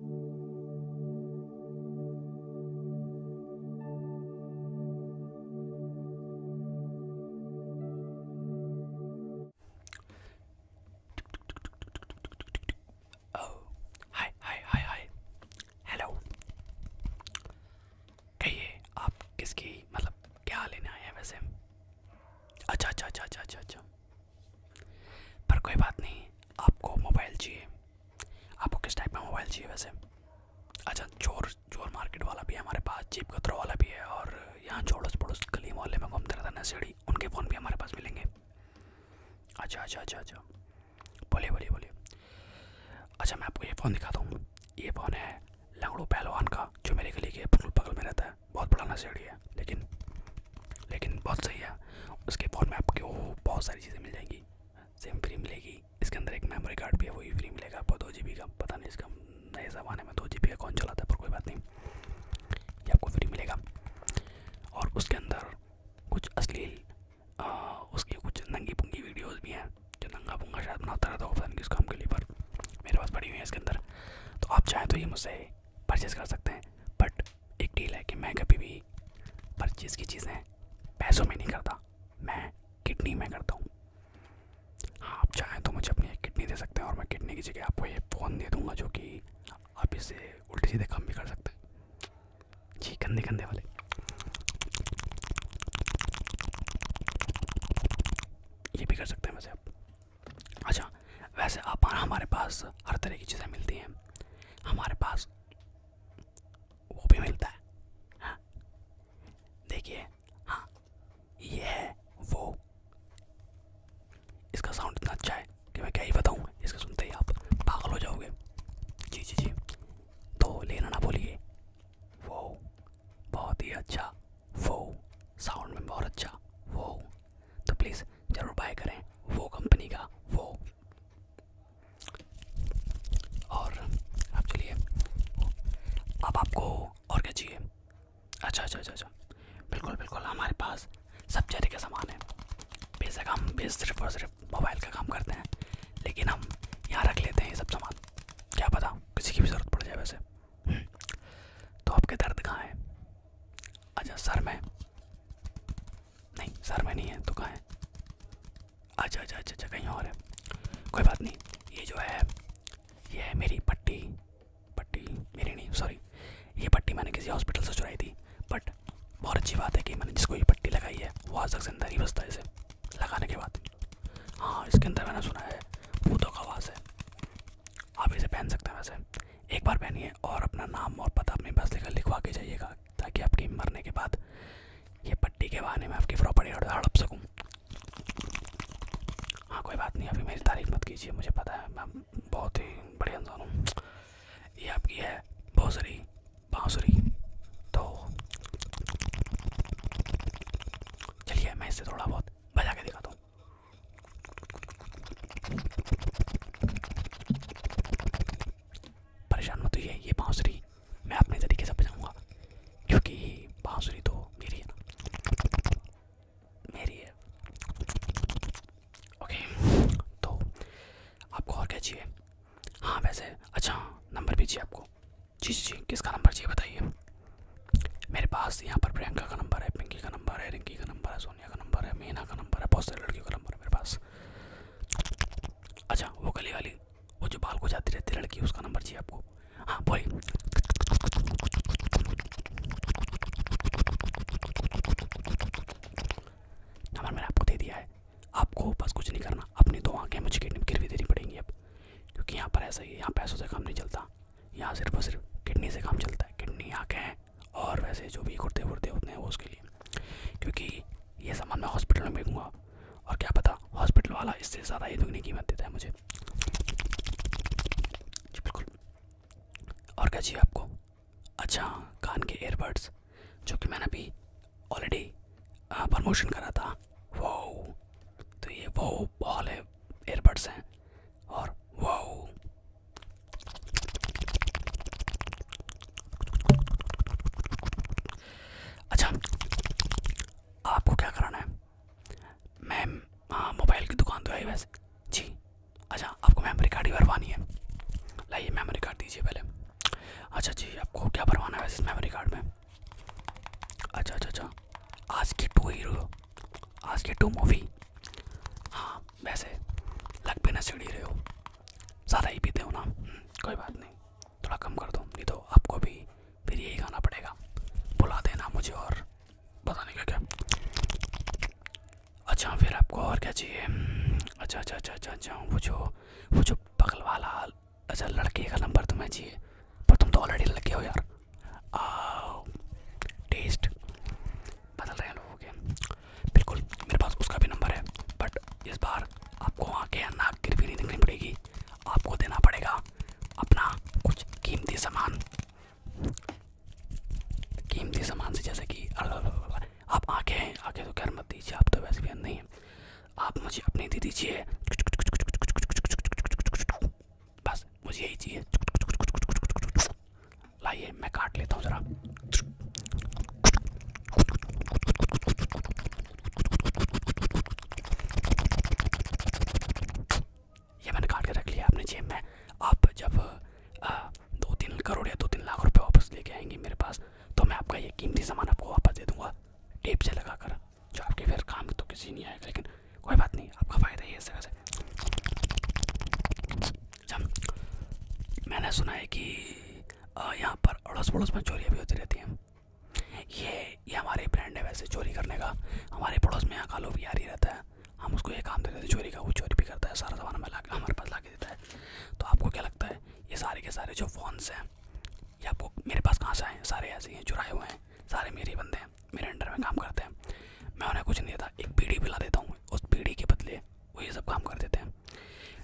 Oh, hi, hi, hi, hi, hello कहिए आप किसकी मतलब क्या लेने आए हैं वैसे अच्छा अच्छा अच्छा अच्छा अच्छा अच्छा पर कोई बात नहीं आपको मोबाइल चाहिए आपको किस टाइप में मोबाइल चाहिए वैसे अच्छा चोर चोर मार्केट वाला भी है हमारे पास जीप कतरो वाला भी है और यहाँ छोड़ोस पड़ोस गली मोहल्ले में घूमते रहता ना सीढ़ी उनके फ़ोन भी हमारे पास मिलेंगे अच्छा अच्छा अच्छा अच्छा बोलिए बोलिए बोलिए अच्छा मैं आपको ये फ़ोन दिखाता हूँ ये फ़ोन है लंगड़ू पहलवान का जो मेरे गली के बिल्कुल बगल में रहता है बहुत बड़ा नशेड़ी है है लेकिन लेकिन बहुत सही है उसके फ़ोन में आपके बहुत सारी चीज़ें मिल जाएंगी सिम फ्री मिलेगी इसके अंदर एक मेमोरी कार्ड भी है वही फ्री मिलेगा आपको दो जी बी का पता नहीं इसका नए ज़माने में दो जी बी का कौन चलाता है पर कोई बात नहीं ये आपको फ्री मिलेगा और उसके अंदर कुछ अश्लील उसकी कुछ नंगी पुंगी वीडियोज़ भी हैं जो नंगा पुंगा शायद बनाता रहता तो होगा इस काम के लिए पर मेरे पास पड़ी हुई है इसके अंदर तो आप चाहें तो ये मुझसे परचेज़ कर सकते हैं बट एक डील है कि मैं कभी भी परचेज़ की चीज़ें पैसों में नहीं करता मैं किडनी में करता हूँ हाँ आप चाहें तो मुझे अपनी एक किडनी दे सकते हैं और मैं किडनी की जगह आपको ये फ़ोन दे दूँगा जो कि आप इसे उल्टी सीधे काम भी कर सकते हैं जी कंधे कंधे वाले ये भी कर सकते हैं वैसे आप अच्छा वैसे आप हमारे पास हर तरह की चीज़ें मिलती हैं हमारे पास वो भी मिलता है हाँ। देखिए हाँ ये है वो इसका साउंड इतना अच्छा है कि मैं क्या ही बताऊँ इसको सुनते ही आप पागल हो जाओगे जी जी जी तो लेना ना भूलिए वो बहुत ही अच्छा वो साउंड में बहुत अच्छा वो तो प्लीज़ ज़रूर बाय करें वो कंपनी का वो और अब चलिए अब आपको और क्या चाहिए अच्छा अच्छा अच्छा अच्छा बिल्कुल बिल्कुल हमारे पास सब तरह का सामान है का हम बेस सिर्फ और सिर्फ मोबाइल का काम करते हैं लेकिन हम यहाँ रख लेते हैं ये सब सामान क्या पता किसी की भी ज़रूरत पड़ जाए वैसे तो आपके दर्द कहाँ है अच्छा सर में नहीं सर में नहीं है तो कहाँ है अच्छा अच्छा अच्छा अच्छा कहीं और है कोई बात नहीं ये जो है ये है मेरी पट्टी पट्टी मेरी नहीं सॉरी ये पट्टी मैंने किसी हॉस्पिटल से चुराई थी बट बहुत अच्छी बात है कि मैंने जिसको ये पट्टी लगाई है वो आज तक जिंदा नहीं बसता इसे लगाने के बाद हाँ इसके अंदर मैंने सुना है भूतों का आवाज़ है आप इसे पहन सकते हैं वैसे एक बार पहनिए और अपना नाम और पता अपने पास लेकर लिखवा के जाइएगा ताकि आपकी मरने के बाद ये पट्टी के बहाने में आपकी प्रॉपर्टी हड़प सकूँ हाँ कोई बात नहीं अभी मेरी तारीफ मत कीजिए मुझे पता है मैं बहुत ही बढ़िया इंसान हूँ ये आपकी है भोसरी बाँसुरी तो चलिए मैं इससे थोड़ा बहुत बजा के दिखाता हूँ परेशान मत होइए ये बांसुरी मैं अपने तरीके से बजाऊंगा क्योंकि बांसुरी तो मेरी है ना मेरी है ओके तो आपको और क्या चाहिए हाँ वैसे अच्छा नंबर भी चाहिए आपको जी जी जी किसका नंबर चाहिए बताइए मेरे पास यहाँ पर प्रियंका का नंबर है पिंकी का नंबर है रिंकी का नंबर है सोनिया का नंबर है मीना का नंबर है बहुत सारी लड़कियों का नंबर है मेरे पास अच्छा वो गली वाली वो जो बाल को जाती रहती है लड़की उसका नंबर चाहिए आपको हाँ बोलिए नंबर मैंने आपको दे दिया है आपको बस कुछ नहीं करना अपनी दो आँखें मुझे किडनी गिरवी देनी पड़ेंगी अब क्योंकि यहाँ पर ऐसा ही है यहाँ पैसों से काम नहीं चलता यहाँ सिर्फ और सिर्फ किडनी से काम चलता है किडनी आँखें हैं और वैसे जो भी कुर्ते वुर्ते होते हैं वो उसके लिए क्योंकि ये सामान मैं हॉस्पिटल में बेचूँगा और क्या पता हॉस्पिटल वाला इससे ज़्यादा ही दुगनी कीमत देता है मुझे जी बिल्कुल और क्या चाहिए आपको अच्छा कान के एयरबड्स जो कि मैंने अभी ऑलरेडी प्रमोशन करा था वो तो ये वो बॉल है एयरबड्स हैं और वो अच्छा आपको क्या कराना है मैम हाँ मोबाइल की दुकान तो है वैसे जी अच्छा आपको मेमोरी कार्ड ही भरवानी है लाइए मेमोरी कार्ड दीजिए पहले अच्छा जी आपको क्या भरवाना है वैसे मेमोरी कार्ड में अच्छा अच्छा अच्छा आज की टू हीरो आज के टू मूवी हाँ वैसे लग भी ना सीढ़ी रहे हो ज़्यादा ही पीते हो ना हम्म, कोई बात नहीं थोड़ा कम कर दो नहीं तो आपको भी फिर यही खाना पड़ेगा बुला देना मुझे और बताने का क्या अच्छा फिर आपको और क्या चाहिए अच्छा अच्छा अच्छा अच्छा अच्छा वो जो वो जो बगल वाला अच्छा लड़के का नंबर तुम्हें चाहिए पर तुम तो ऑलरेडी लड़के हो यार टेस्ट बदल रहे हैं लोगों के बिल्कुल मेरे पास उसका भी नंबर है बट इस बार आपको आँखें या नाक गिर भी नहीं देखनी पड़ेगी आपको देना पड़ेगा अपना कुछ कीमती सामान कीमती सामान से जैसे कि आप आँखें हैं आँखें तो खैर मत दीजिए आप तो वैसे भी अंदर नहीं हैं आप मुझे अपनी दे दीजिए बस मुझे यही चाहिए लाइए मैं काट लेता हूँ ज़रा ये मैंने काट के रख लिया अपने जेब में आप जब दो तीन करोड़ या दो तीन लाख रुपए वापस लेके आएंगे मेरे पास तो मैं आपका ये कीमती सामान आपको वापस दे दूंगा टेप से लगा कर जो आपके फिर काम तो किसी नहीं आएगा लेकिन कोई बात नहीं आपका फ़ायदा ही इस तरह से अच्छा, मैंने सुना है कि यहाँ पर अड़ोस पड़ोस में चोरियाँ भी होती रहती हैं ये ये हमारे ब्रांड है वैसे चोरी करने का हमारे पड़ोस में यहाँ कालो भी आ रही रहता है हम उसको ये काम देते हैं चोरी का वो चोरी भी करता है सारा सामान हमें ला हमारे पास ला के देता है तो आपको क्या लगता है ये सारे के सारे जो फ़ोन्स हैं ये आपको मेरे पास कहाँ हैं सारे ऐसे हैं चुराए हुए हैं सारे मेरे बंदे हैं मेरे अंडर में काम करते हैं मैं उन्हें कुछ नहीं देता एक पीढ़ी पिला देता हूँ उस पीढ़ी के बदले वो ये सब काम कर देते हैं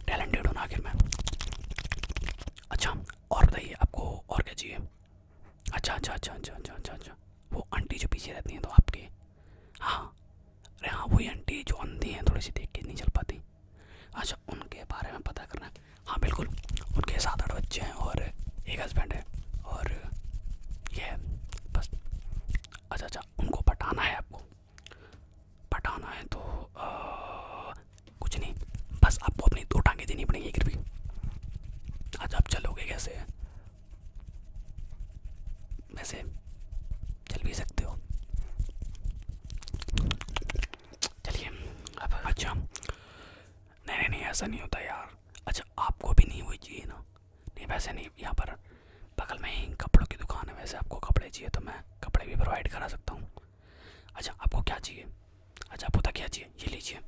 टैलेंटेड होना आखिर में अच्छा और बताइए आपको और क्या चाहिए अच्छा अच्छा अच्छा अच्छा अच्छा अच्छा अच्छा वो आंटी जो पीछे रहती हैं तो आपके हाँ अरे हाँ वही आंटी जो अंधी हैं थोड़ी सी देख के नहीं चल पाती अच्छा उनके बारे में पता करना है हाँ बिल्कुल उनके सात आठ बच्चे हैं और एक हस्बैंड है और ये है बस अच्छा अच्छा उनको पटाना है आपको पटाना है तो आ, कुछ नहीं बस आपको अपनी दो टांगे देनी पड़ेंगी फिर भी अच्छा आप चलोगे कैसे वैसे चल भी सकते हो चलिए अब अच्छा नहीं नहीं नहीं ऐसा नहीं होता यार अच्छा आपको भी नहीं हुई चाहिए ना नहीं वैसे नहीं यहाँ पर बगल में ही कपड़ों की दुकान है वैसे आपको कपड़े चाहिए तो मैं कपड़े भी प्रोवाइड करा सकता हूँ अच्छा आपको क्या चाहिए अच्छा आपको क्या चाहिए ये लीजिए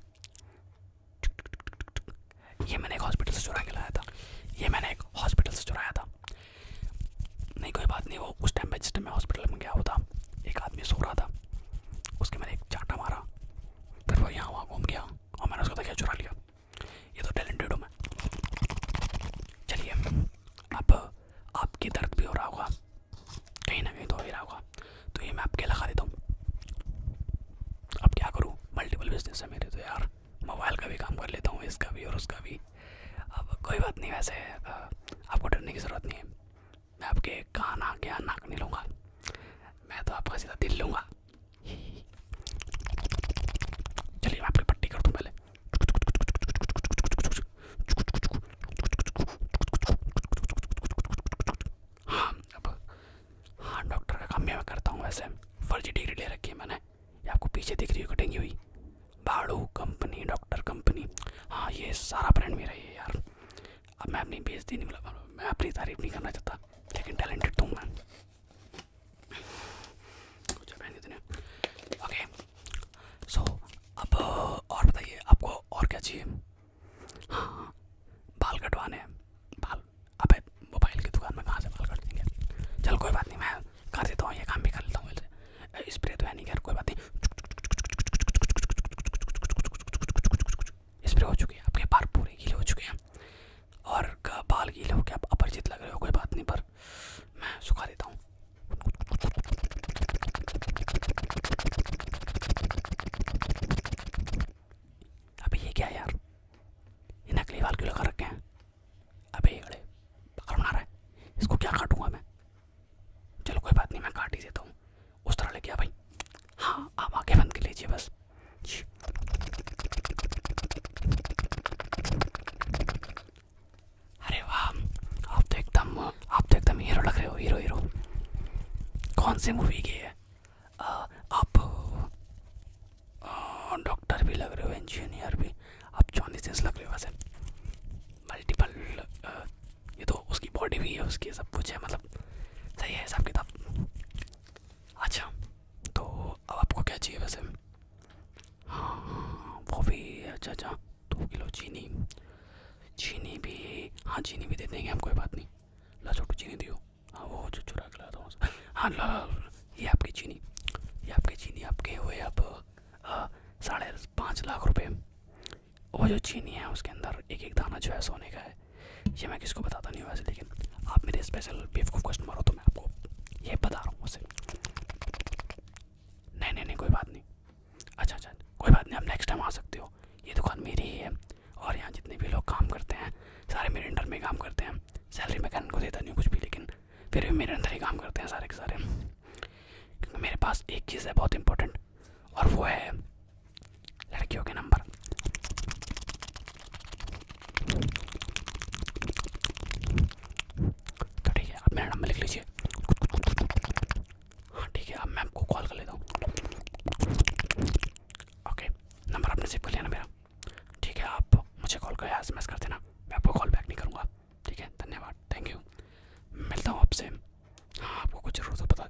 ये मैंने एक हॉस्पिटल से चुरा के लाया था ये मैंने एक हॉस्पिटल से चुराया था नहीं कोई बात नहीं वो उस टाइम पर जिस टाइम मैं हॉस्पिटल में गया होता एक आदमी सो रहा था उसके मैंने एक चाटा मारा फिर वो यहाँ वहाँ घूम गया और मैंने उसको देखा चुरा लिया ये तो टैलेंटेड हूँ मैं चलिए अब आपके दर्द भी हो रहा होगा कहीं ना कहीं तो हो ही रहा होगा तो ये मैं आपके लगा देता हूँ अब क्या करूँ मल्टीपल बिजनेस मेरे तो यार मोबाइल का भी काम कर लेता हूँ इसका भी और उसका भी अब कोई बात नहीं वैसे आपको डरने की ज़रूरत नहीं है मैं आपके कान आगे नाक नहीं लूँगा मैं तो आपका सीधा दिल लूँगा चलिए आपकी पट्टी कर दूँ पहले हाँ अब हाँ डॉक्टर का काम भी मैं करता हूँ वैसे फर्जी डिग्री ले रखी है मैंने ये आपको पीछे दिख रही होगी डेंगी हुई भाड़ू कंपनी डॉक्टर कंपनी हाँ ये सारा ब्रांड मेरा ही है यार अब मैं अपनी बेइज्जती नहीं मतलब मैं अपनी तारीफ नहीं करना चाहता लेकिन टैलेंटेड तो हूँ मैं कुछ पहन ओके सो अब और बताइए आपको और क्या चाहिए हाँ बाल कटवाने बाल अब मोबाइल की दुकान में कहाँ से बाल कट देंगे चल कोई बात नहीं मैं कर देता हूँ ये काम भी कर लेता हूँ स्प्रे तो है नहीं यार कोई बात नहीं स्प्रे हो चुके हैं आपके बाल पूरे गीले हो चुके हैं और बाल गीले हो के आप अपरिचित लग रहे हो कोई बात नहीं पर मैं सुखा देता हूँ अबे ये क्या यार ये नकली बाल क्यों लगा रखे हैं अबे अड़े है इसको क्या काटूंगा मैं चलो कोई बात नहीं मैं काट ही देता हूँ उस तरह ले गया भाई हाँ आप आगे बंद कर लीजिए बस अरे वाह आप तो एकदम आप तो एकदम हीरो लग रहे हो हीरो हीरो कौन सी मूवी की है आ, आप डॉक्टर भी लग रहे हो इंजीनियर भी आप जॉनी सेंस लग रहे हो वैसे मल्टीपल ये तो उसकी बॉडी भी है उसकी सब कुछ है मतलब सही है हिसाब किताब अच्छा तो अब आपको क्या चाहिए वैसे हाँ हाँ वो भी अच्छा अच्छा दो किलो चीनी चीनी भी हाँ चीनी भी दे देंगे हम कोई बात नहीं ला छोटू चीनी दियो हाँ वो जो चुरा के लाता हूँ हाँ ला ये आपकी चीनी ये आपकी चीनी आपके हुए अब साढ़े पाँच लाख रुपए वो जो चीनी है उसके अंदर एक एक दाना जो है सोने का है ये मैं किसको बताता नहीं वैसे लेकिन आप मेरे स्पेशल बीफ को कस्टमर हो तो मैं आपको ये बता रहा हूँ उसे नहीं नहीं नहीं कोई बात नहीं अच्छा अच्छा कोई बात नहीं आप नेक्स्ट टाइम आ सकते हो ये दुकान मेरी ही है और यहाँ जितने भी लोग काम करते हैं सारे मेरे अंडर में काम करते हैं सैलरी मैं कहने को देता नहीं कुछ भी लेकिन फिर भी मेरे अंदर ही काम करते हैं सारे के सारे क्योंकि मेरे पास एक चीज़ है बहुत इंपॉर्टेंट और वो है लड़कियों के नंबर तो ठीक है आप मेरा नंबर लिख लीजिए हाँ ठीक है अब मैं आपको कॉल कर लेता हूँ ओके नंबर आपने सेव कर लिया ना मेरा ठीक है आप मुझे कॉल कर या एस कर देना मैं आपको कॉल बैक नहीं करूँगा ठीक है धन्यवाद थैंक यू मिलता हूँ आपसे हाँ आपको कुछ ज़रूरत हो बता